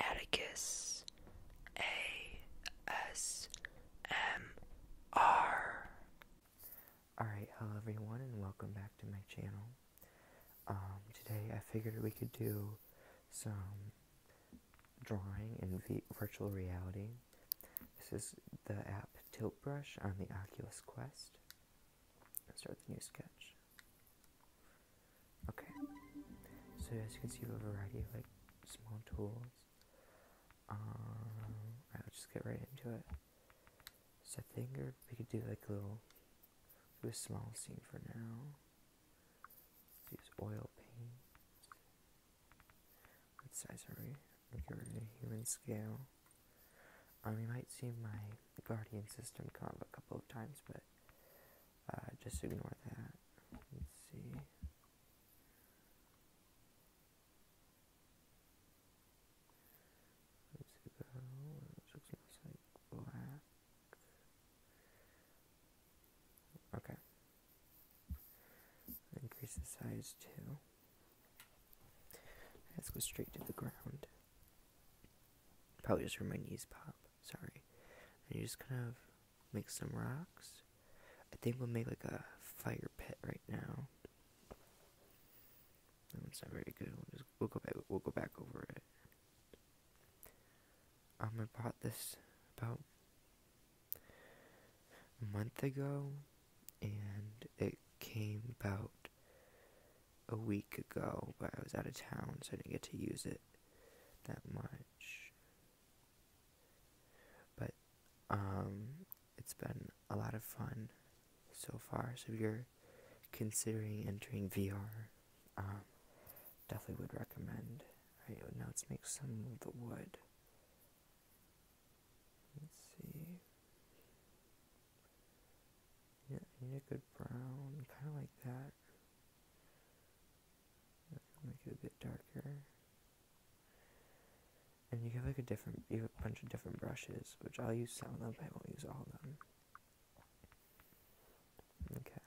Atticus A S M R. Alright, hello everyone, and welcome back to my channel. Um, today I figured we could do some drawing in virtual reality. This is the app Tilt Brush on the Oculus Quest. Let's start the new sketch. Okay, so as you can see, we have a variety of like small tools. Um, right, let's just get right into it. So I think we could do like a little, do a small scene for now. Use oil paint. What size are we? We'll human scale. Um, you might see my guardian system come up a couple of times, but uh, just ignore that. Let's see. Let's go. Okay. Increase the size too. Let's go straight to the ground. Probably just where my knees pop sorry. you just kind of make some rocks. I think we'll make like a fire pit right now. No, it's not very good. We'll just we'll go back we'll go back over it. Um, I bought this about a month ago, and it came about a week ago, but I was out of town, so I didn't get to use it that much. But um, it's been a lot of fun so far. So if you're considering entering VR, um, definitely would recommend. Right now, let's make some of the wood. Let's see. Yeah, need a good brown, kind of like that. Make it a bit darker. And you have like a different, you have a bunch of different brushes, which I'll use some of them, but I won't use all of them. Okay.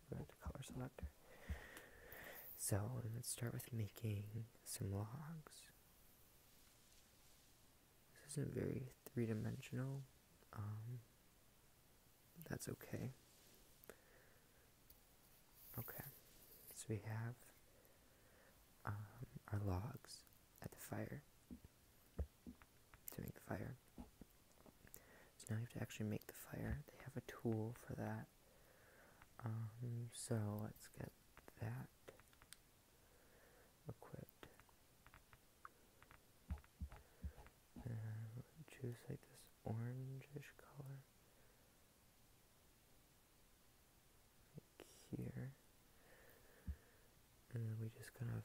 Let's go back to color selector. So, let's start with making some logs. This isn't very three dimensional. Um, that's okay. Okay, so we have um, our logs at the fire to make the fire. So now you have to actually make the fire. They have a tool for that. Um, so let's get that equipped choose like this orangish color here and then we just kind of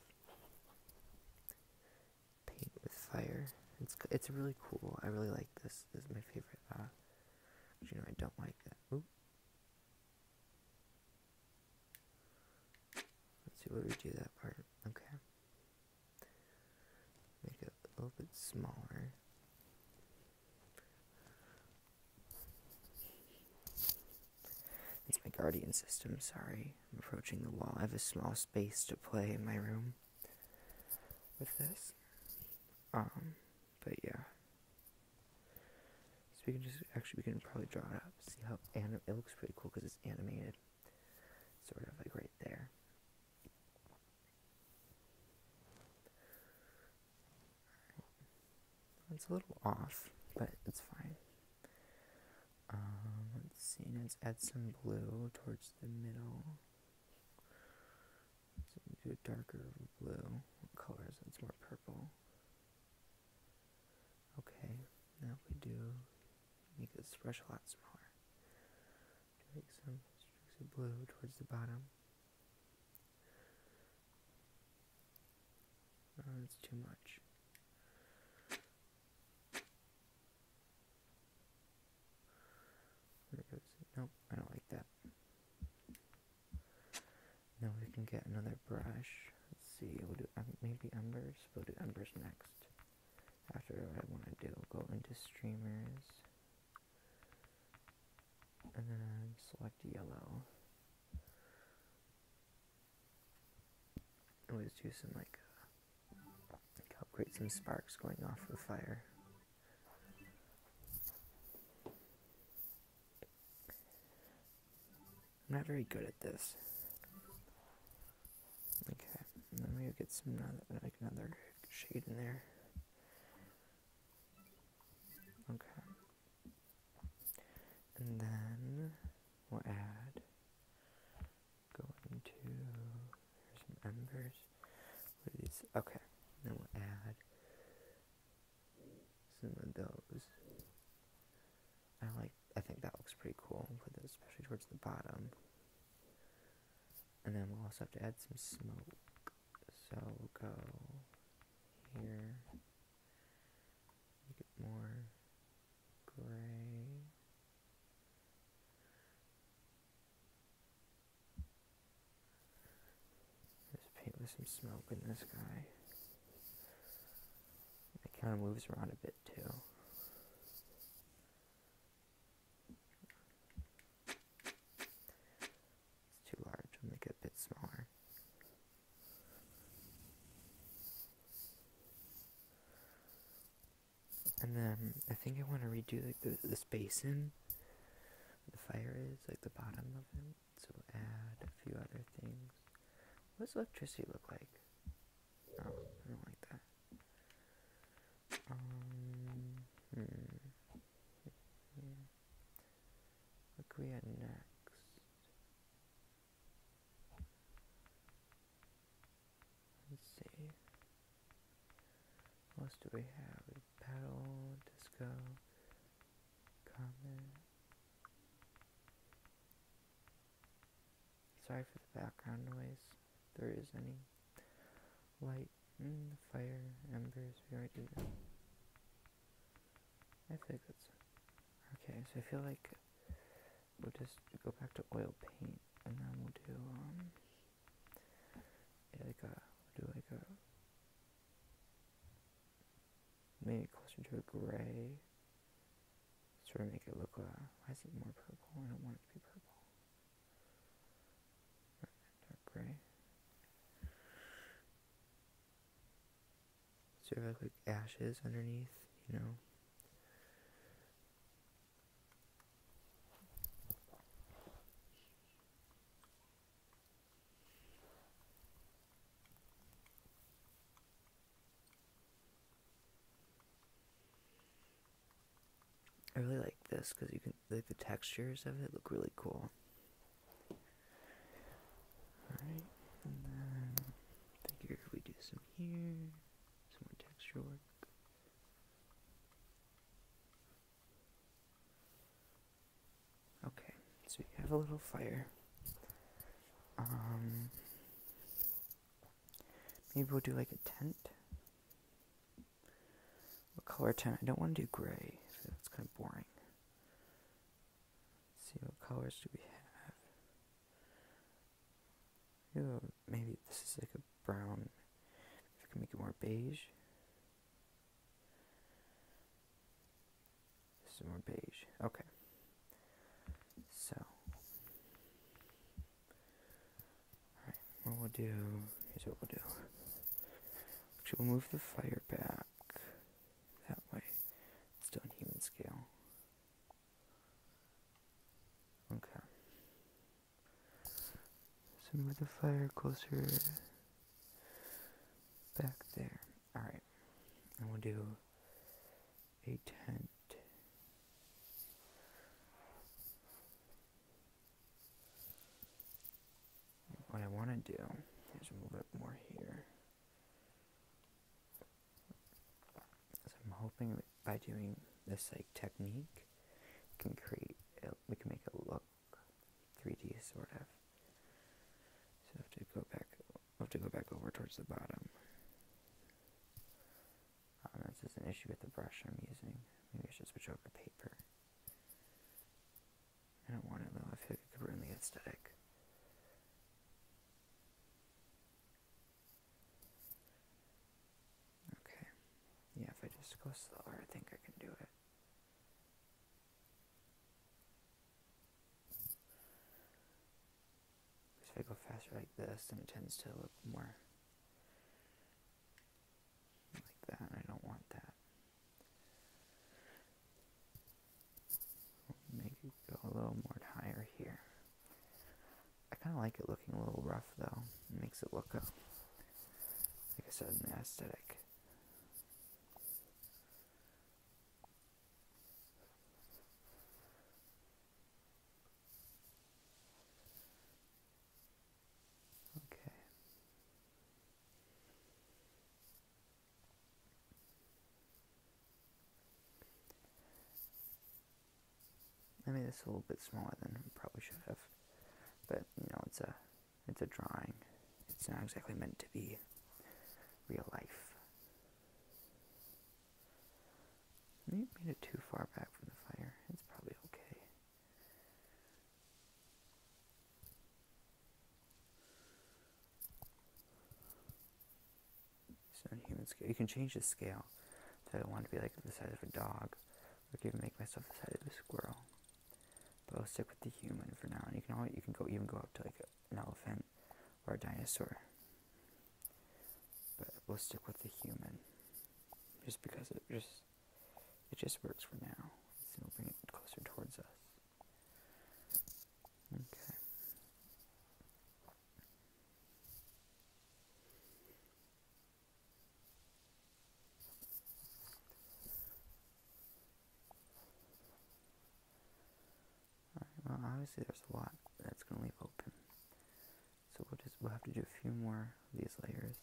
paint with fire it's it's really cool I really like this this is my favorite uh, you know I don't like that Let's see what we do that part. Okay. Make it a little bit smaller. It's my guardian system, sorry. I'm approaching the wall. I have a small space to play in my room with this. Um, but yeah. So we can just, actually, we can probably draw it out. See how it looks pretty cool because it's animated, sort of like right there. It's a little off, but it's fine. Um, let's see, let's add some blue towards the middle. do a darker blue. What color is It's more purple. Okay, now we do make this brush a lot smaller. Drag some streaks of blue towards the bottom. Oh, that's too much. Nope, I don't like that. Now we can get another brush. Let's see, we'll do maybe Embers. We'll do Embers next. After I want to do, go into streamers. And then select yellow. Always do some like, create some sparks going off the fire. I'm not very good at this. Okay, let me get some like another shade in there. Okay. And then we'll add go into some embers. What are Okay. Then we'll add some of those. I like, I think that looks pretty cool, especially towards the bottom. And then we'll also have to add some smoke. So we'll go here, make more gray. let paint with some smoke in this guy. It kind of moves around a bit too. It's too large, I'll make it a bit smaller. And then I think I want to redo like the, the space the fire is, like the bottom of it. So add a few other things. What does electricity look like? Oh, I don't like that. Um, hmm. What could we add next? Let's see. What do we have? We paddle, disco, Sorry for the background noise. there is any light in the fire embers. We already did that. I think that's okay. So I feel like we'll just go back to oil paint, and then we'll do um, yeah, like a we do like a Maybe closer to a gray. Sort of make it look, uh, why is it more purple? I don't want it to be purple. Dark gray. Sort of like ashes underneath, you know. I really like this because you can like the textures of it look really cool. Alright, and then I we do some here, some more texture work. Okay, so you have a little fire. Um, maybe we'll do like a tent. What color tent? I don't want to do gray. So that's kind of boring. see what colors do we have. maybe this is like a brown. If we can make it more beige. This is more beige. Okay. So. Alright, what we'll do, is what we'll do. Actually, we'll move the fire back that way. It's still human scale. Okay. So move the fire closer back there. Alright, and we'll do a tent. What I want to do is move it more here. So I'm hoping that by doing this like technique, we can create, we can make it look 3D sort of. So I have to go back I'll have to go back over towards the bottom. Oh, this is an issue with the brush I'm using. Maybe I should switch over to paper. I don't want it though, I feel it could ruin the aesthetic. Okay. Yeah, if I just go slower, I think I can do it. If I go faster like this, then it tends to look more like that, I don't want that. Make it go a little more higher here. I kind of like it looking a little rough though. It makes it look, uh, like I said, in the aesthetic. Okay. I mean, it's a little bit smaller than I probably should have, but you know, it's a, it's a drawing. It's not exactly meant to be real life. You made it too far back from the fire. It's probably okay. human scale, you can change the scale. So I want to be like the size of a dog. I could even make myself the size of a squirrel. But I'll stick with the human for now. And you can you can go even go up to like an elephant or a dinosaur. But we'll stick with the human, just because it just it just works for now. So we'll bring it closer towards us. Okay well obviously there's a lot that's going to leave open. So we'll we'll have to do a few more of these layers.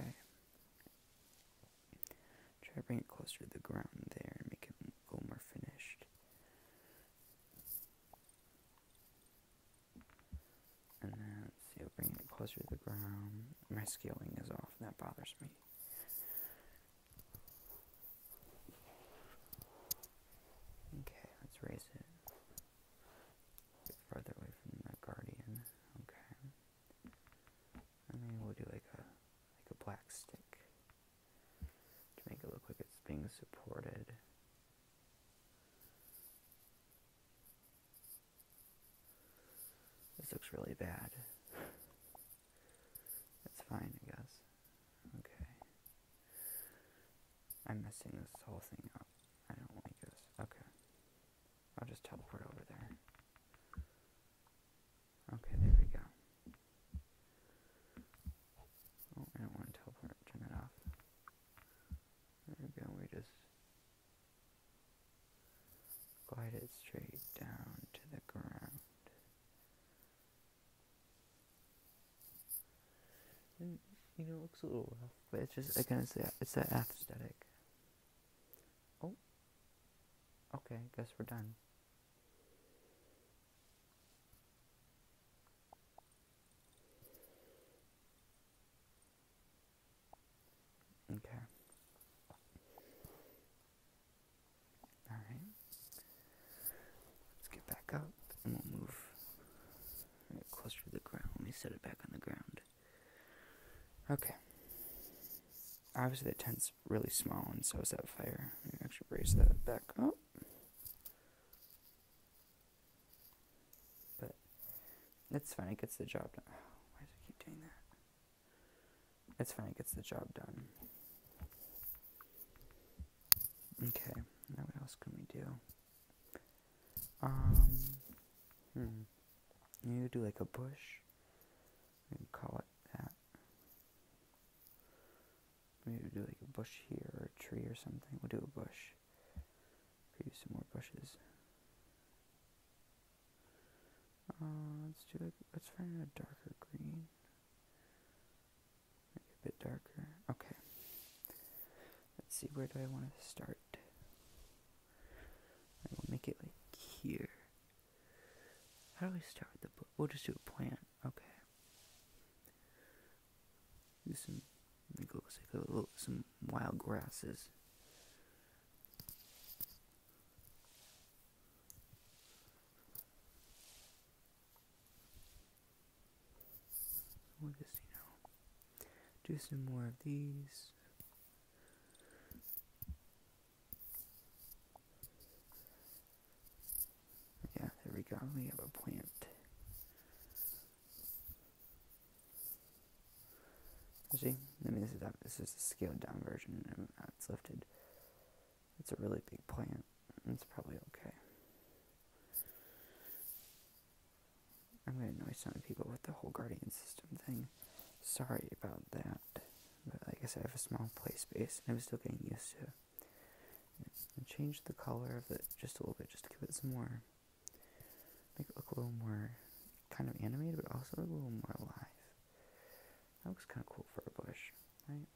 Okay. Try to bring it closer to the ground there and make it a more finished. And then, see, I'll bring it closer to the ground. My scaling is off, that bothers me. Okay, let's raise it. Get farther away from the guardian. Okay. I then we'll do like a like a black stick to make it look like it's being supported. This looks really bad. That's fine, I guess. Okay. I'm messing this whole thing up. I don't like this. Okay. I'll just teleport over there. Okay, there we go. Oh, I don't want to teleport. Turn that off. There we go. We just glide it straight down to the ground. you know, it looks a little rough, but it's just, again, it's that, it's that aesthetic. Oh. Okay, guess we're done. Okay. All right. Let's get back up and we'll move closer to the ground. Let me set it back on the ground. Okay. Obviously, the tent's really small, and so is that fire. Maybe actually raise that back up. But that's fine. It gets the job done. Oh, why does it keep doing that? It's fine. It gets the job done. Okay. Now, what else can we do? Um. Hmm. You do like a bush. You call it that. Maybe do like a bush here or a tree or something. We'll do a bush. Maybe some more bushes. Uh, let's do it. Let's find a darker green. Make it a bit darker. Okay. Let's see. Where do I want to start? I will make it like here. How do we start the book? We'll just do a plant. Okay. Do some, like, looks like a little, some wild grasses. We'll just, you know, do some more of these. Yeah, there we go. We have a plant. See, I mean, this is this is a scaled down version, it's lifted. It's a really big plant. It's probably okay. I'm gonna annoy some people with the whole guardian system thing. Sorry about that. But like I said, I have a small play space and I am still getting used to it. change the color of it just a little bit, just to give it some more, make it look a little more kind of animated, but also a little more alive. That looks kind of cool for a bush, right?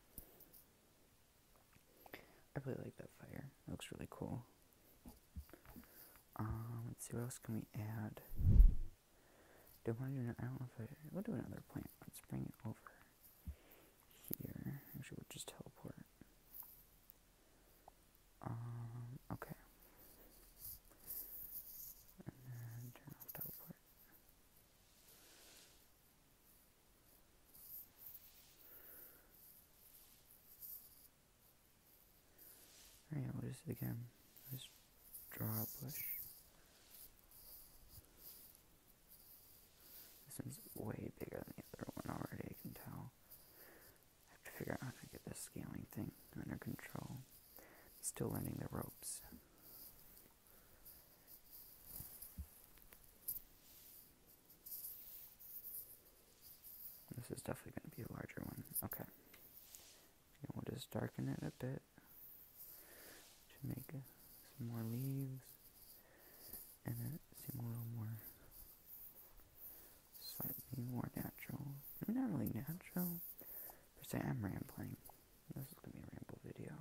I really like that fire. That looks really cool. Um, let's see what else can we add. Do I want to do? I don't know if We'll do another plant. Let's bring it over here. Actually, we'll just teleport. Um, okay. And then turn off teleport. Alright, we do it again, let's draw a bush. This one's way bigger than the other one already, I can tell. I have to figure out how to get this scaling thing under control. still learning the ropes. This is definitely going to be a larger one. Okay. And we'll just darken it a bit to make some more leaves and it seem a little more slightly more natural. not really natural per se. I'm rambling. This is going to be a ramble video.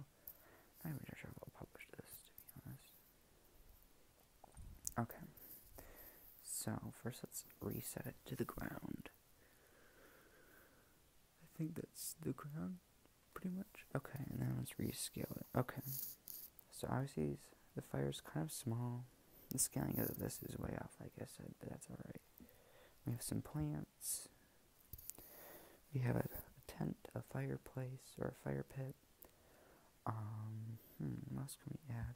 I am not even sure if I will publish this, to be honest. Okay. So, first let's reset it to the ground. I think that's the ground, pretty much. Okay, and then let's rescale it. Okay. So, obviously, the fire is kind of small. The scaling of this is way off, like I said, but that's alright. We have some plants. We have a, a tent, a fireplace, or a fire pit. Um, hmm, what else can we add?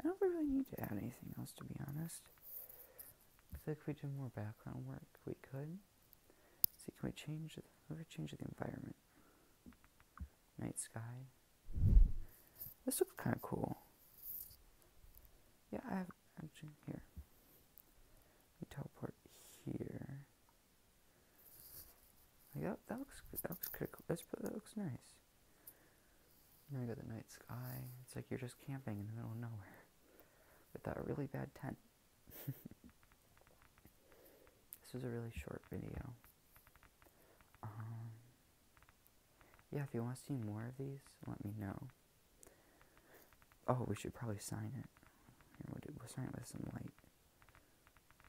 I don't really need to add anything else to be honest. Looks like if we do more background work, we could. see, can we change the, we could change the environment? Night sky. This looks kind of cool. Yeah, I have actually here. teleport here. Like that, looks that looks critical. that looks nice you go, the night sky. It's like you're just camping in the middle of nowhere with that really bad tent. this was a really short video. Um, yeah, if you want to see more of these, let me know. Oh, we should probably sign it. we'll, do, we'll sign it with some light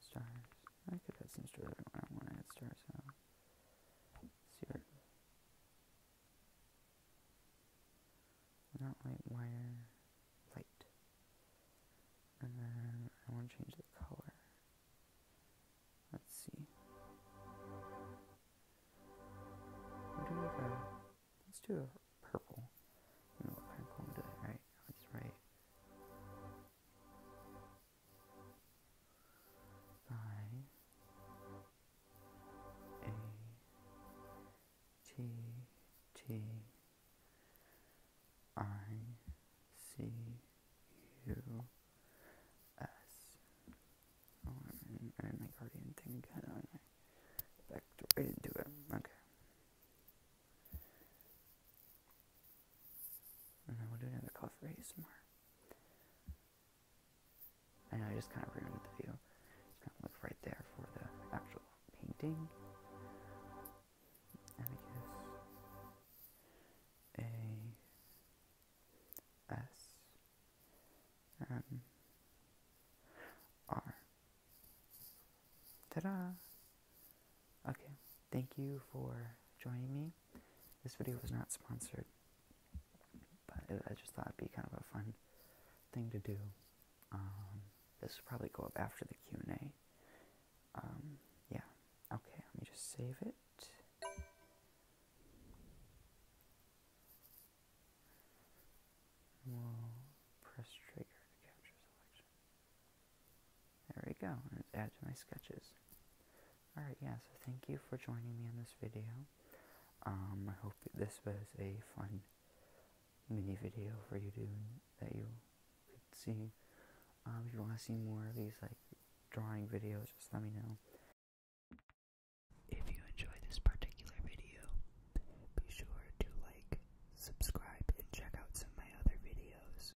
stars. I could add some stars. I don't want to add stars. So. Let's see Not light wire, light. And then I want to change the color. Let's see. Let's do a purple. I know what kind of poem did I write? I A T T I C U S. Oh, I didn't make Guardian thing again. I backed it. Okay. And then we'll do another cough raise more. I know I just kind of ruined the view. Just kind of look right there for the actual painting. And I guess A S M R. Ta-da! Okay, thank you for joining me. This video was not sponsored, but I just thought it'd be kind of a fun thing to do. Um, this will probably go up after the Q and A. Um, yeah. Okay, let me just save it. We'll press trigger to capture selection. There we go, and add to my sketches. Alright, yeah, so thank you for joining me on this video. Um, I hope this was a fun mini video for you to, that you could see. Um, if you want to see more of these, like, drawing videos, just let me know. If you enjoyed this particular video, be sure to like, subscribe, and check out some of my other videos.